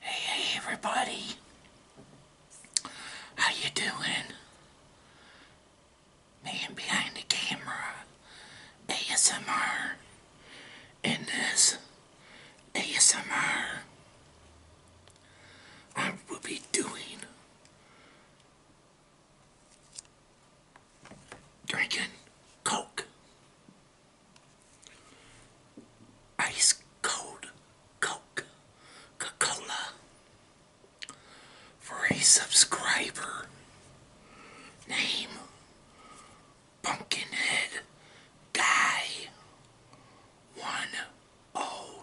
Hey everybody, how you doing? Man behind the camera, ASMR, in this ASMR, I will be doing drinking Coke ice cold Coke Cola for a subscriber name Pumpkinhead Guy 101.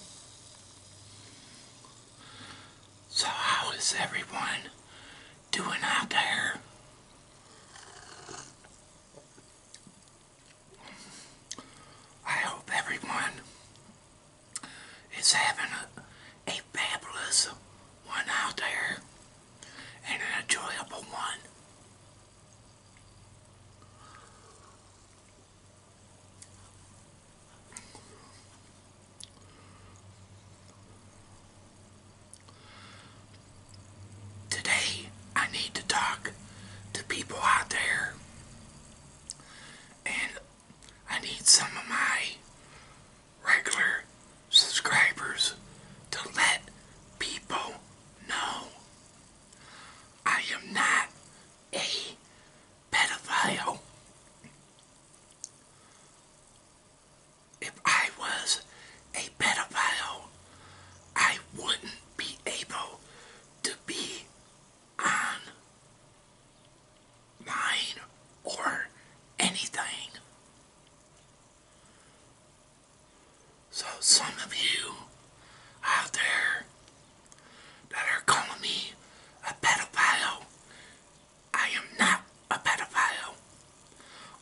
So how is everyone doing out there? I hope everyone is having a, fabulous one out there and an enjoyable one. Today, I need to talk to people out there, and I need some of my regular subscribers to let people know I am not a pedophile. If I was a pedophile, I wouldn't be able to be on line or anything. So some of you out there that are calling me a pedophile, I am not a pedophile.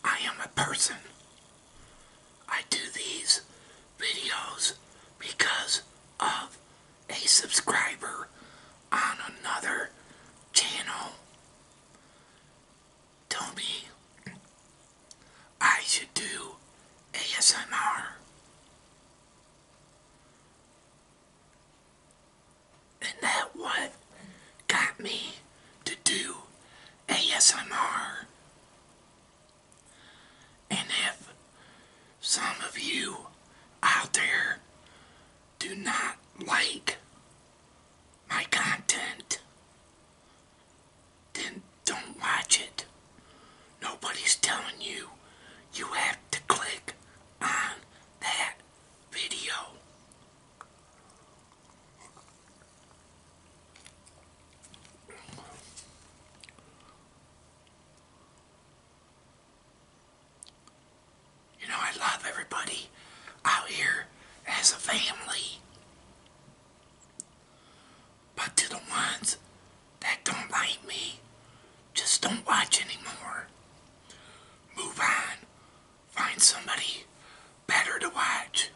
I am a person. I do these videos because of a subscriber on another channel. Tell me I should do ASMR. And that what got me to do ASMR. And if some of you out there do not like my content, then don't watch it. Nobody's telling you you have to click on that video. You know, I love everybody out here as a family. But to the ones that don't like me, just don't watch anymore. Move on. Find somebody better to watch.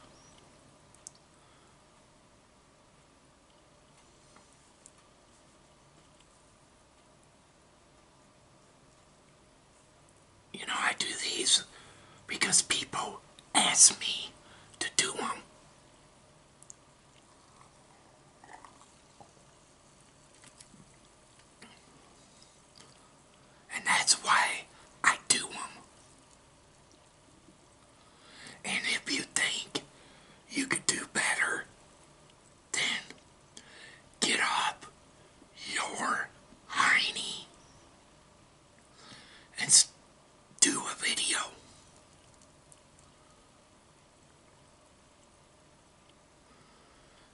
You know, I do these because people ask me to do them. And that's why I do them. And if you think you could do better, then get up your hiney and do a video.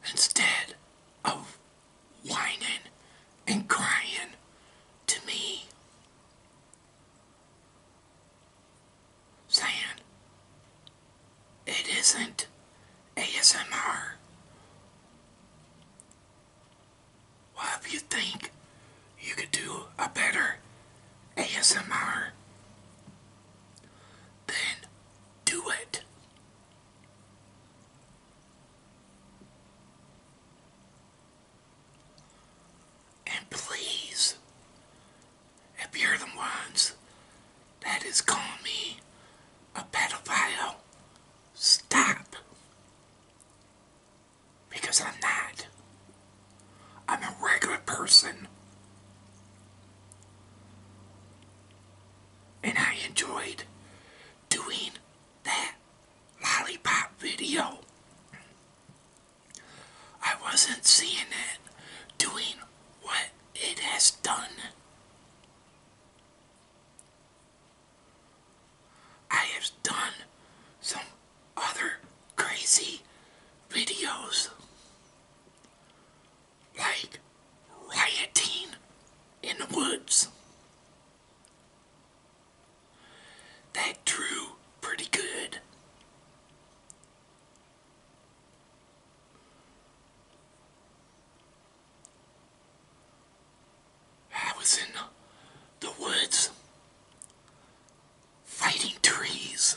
Instead of whining and crying to me, saying it isn't ASMR. Well, if you think you could do a better ASMR, then do it. And please, if you're the ones that is calling me a pedophile, stop. Because I'm not. I'm a regular person. And I enjoyed doing that lollipop video. I wasn't seeing it doing what it has done. I have done some other crazy videos like rioting in the woods that drew pretty good. I was in the, woods fighting trees.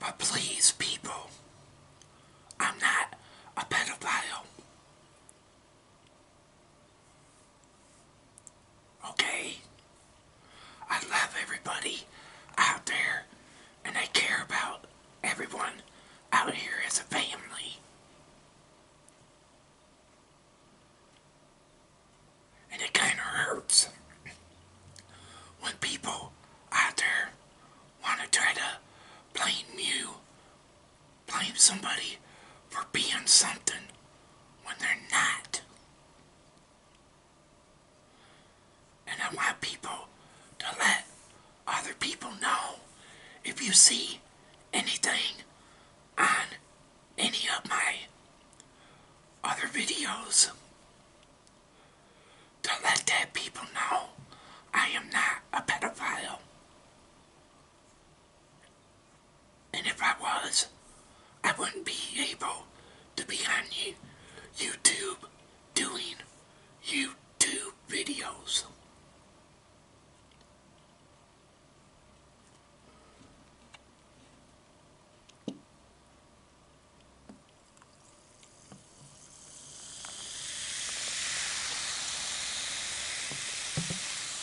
But please, people, I'm not a pedophile. Okay? I love everybody out there and I care about everyone out here as a family. And it kind of hurts when people out there want to try to blame you blame somebody for being something when they're not. And I want people to let other people know if you see anything on any of my other videos to let that people know I am not a pedophile. And if I was, I wouldn't be able to be on YouTube doing YouTube videos.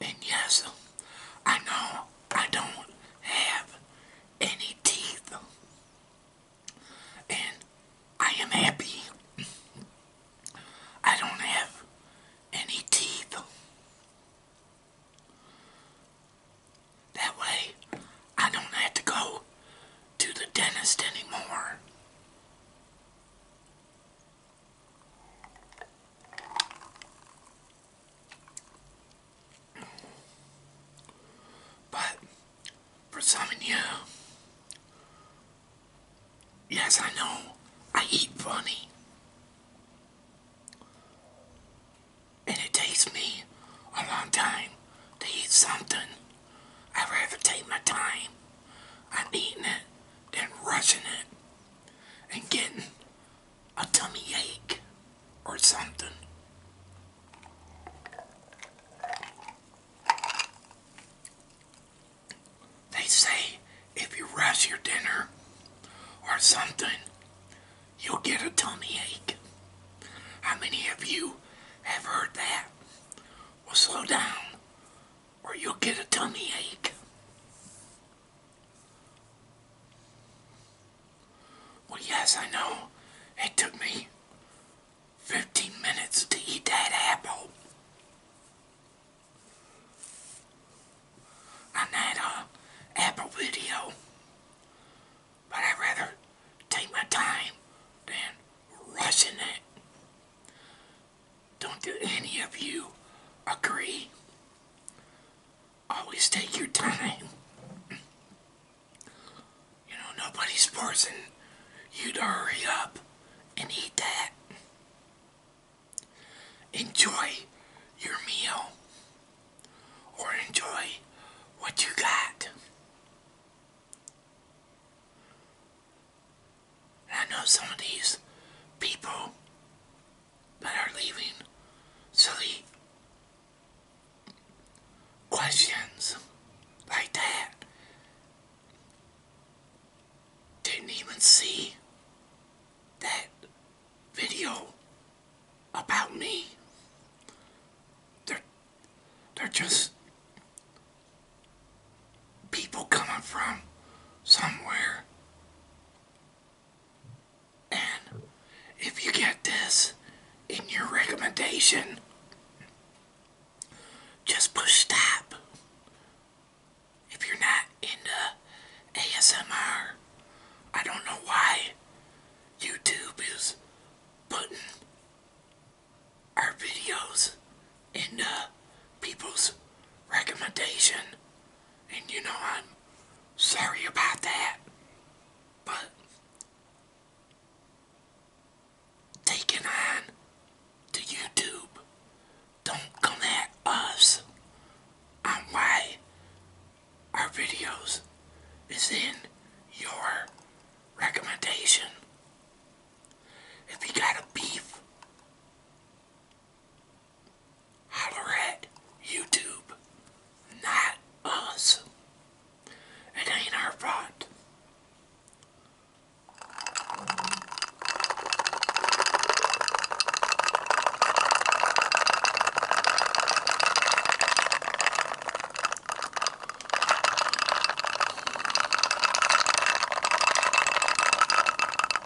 And yes, I know I don't have any teeth. And I am happy. I don't have any teeth. That way, I don't have to go to the dentist anymore. But for some of you, yes, I know I eat funny. And it takes me a long time to eat something. I'd rather take my time on eating it than rushing it and getting a tummy ache or something. They say if you rush your dinner or something, you'll get a tummy ache. How many of you have heard that? Well, slow down or you'll get a tummy ache. Well, yes, I know. It took me 15 minutes to eat that apple. On that uh, Apple video. But I'd rather take my time than rushing it. Don't do any of you agree? Always take your time. You know, nobody's forcing you to hurry up and eat that. Enjoy your meal or enjoy what you got. I know some of these people that are leaving silly questions like that. Didn't even see that video about me. They're, they're just people coming from somewhere and if you get this in your recommendation, just push stop. If you're not into ASMR, I don't know why YouTube is putting our videos into people's recommendation and you know, I'm sorry about that. But taking on to YouTube, don't come at us on why our videos is in your recommendation. If you got a beef holler at YouTube, not us. It ain't our fault.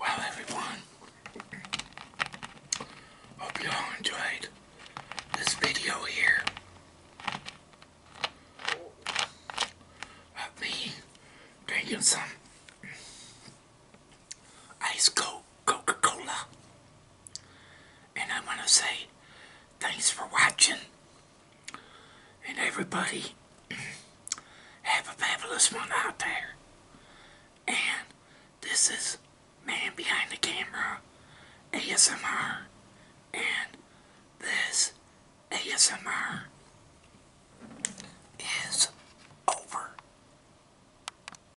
Well, everyone, hope you all enjoyed this video here of me drinking some ice cold. Coca-Cola. And I want to say thanks for watching. And everybody, have a fabulous one out there. And this is Man Behind the Camera ASMR. And this ASMR is... over.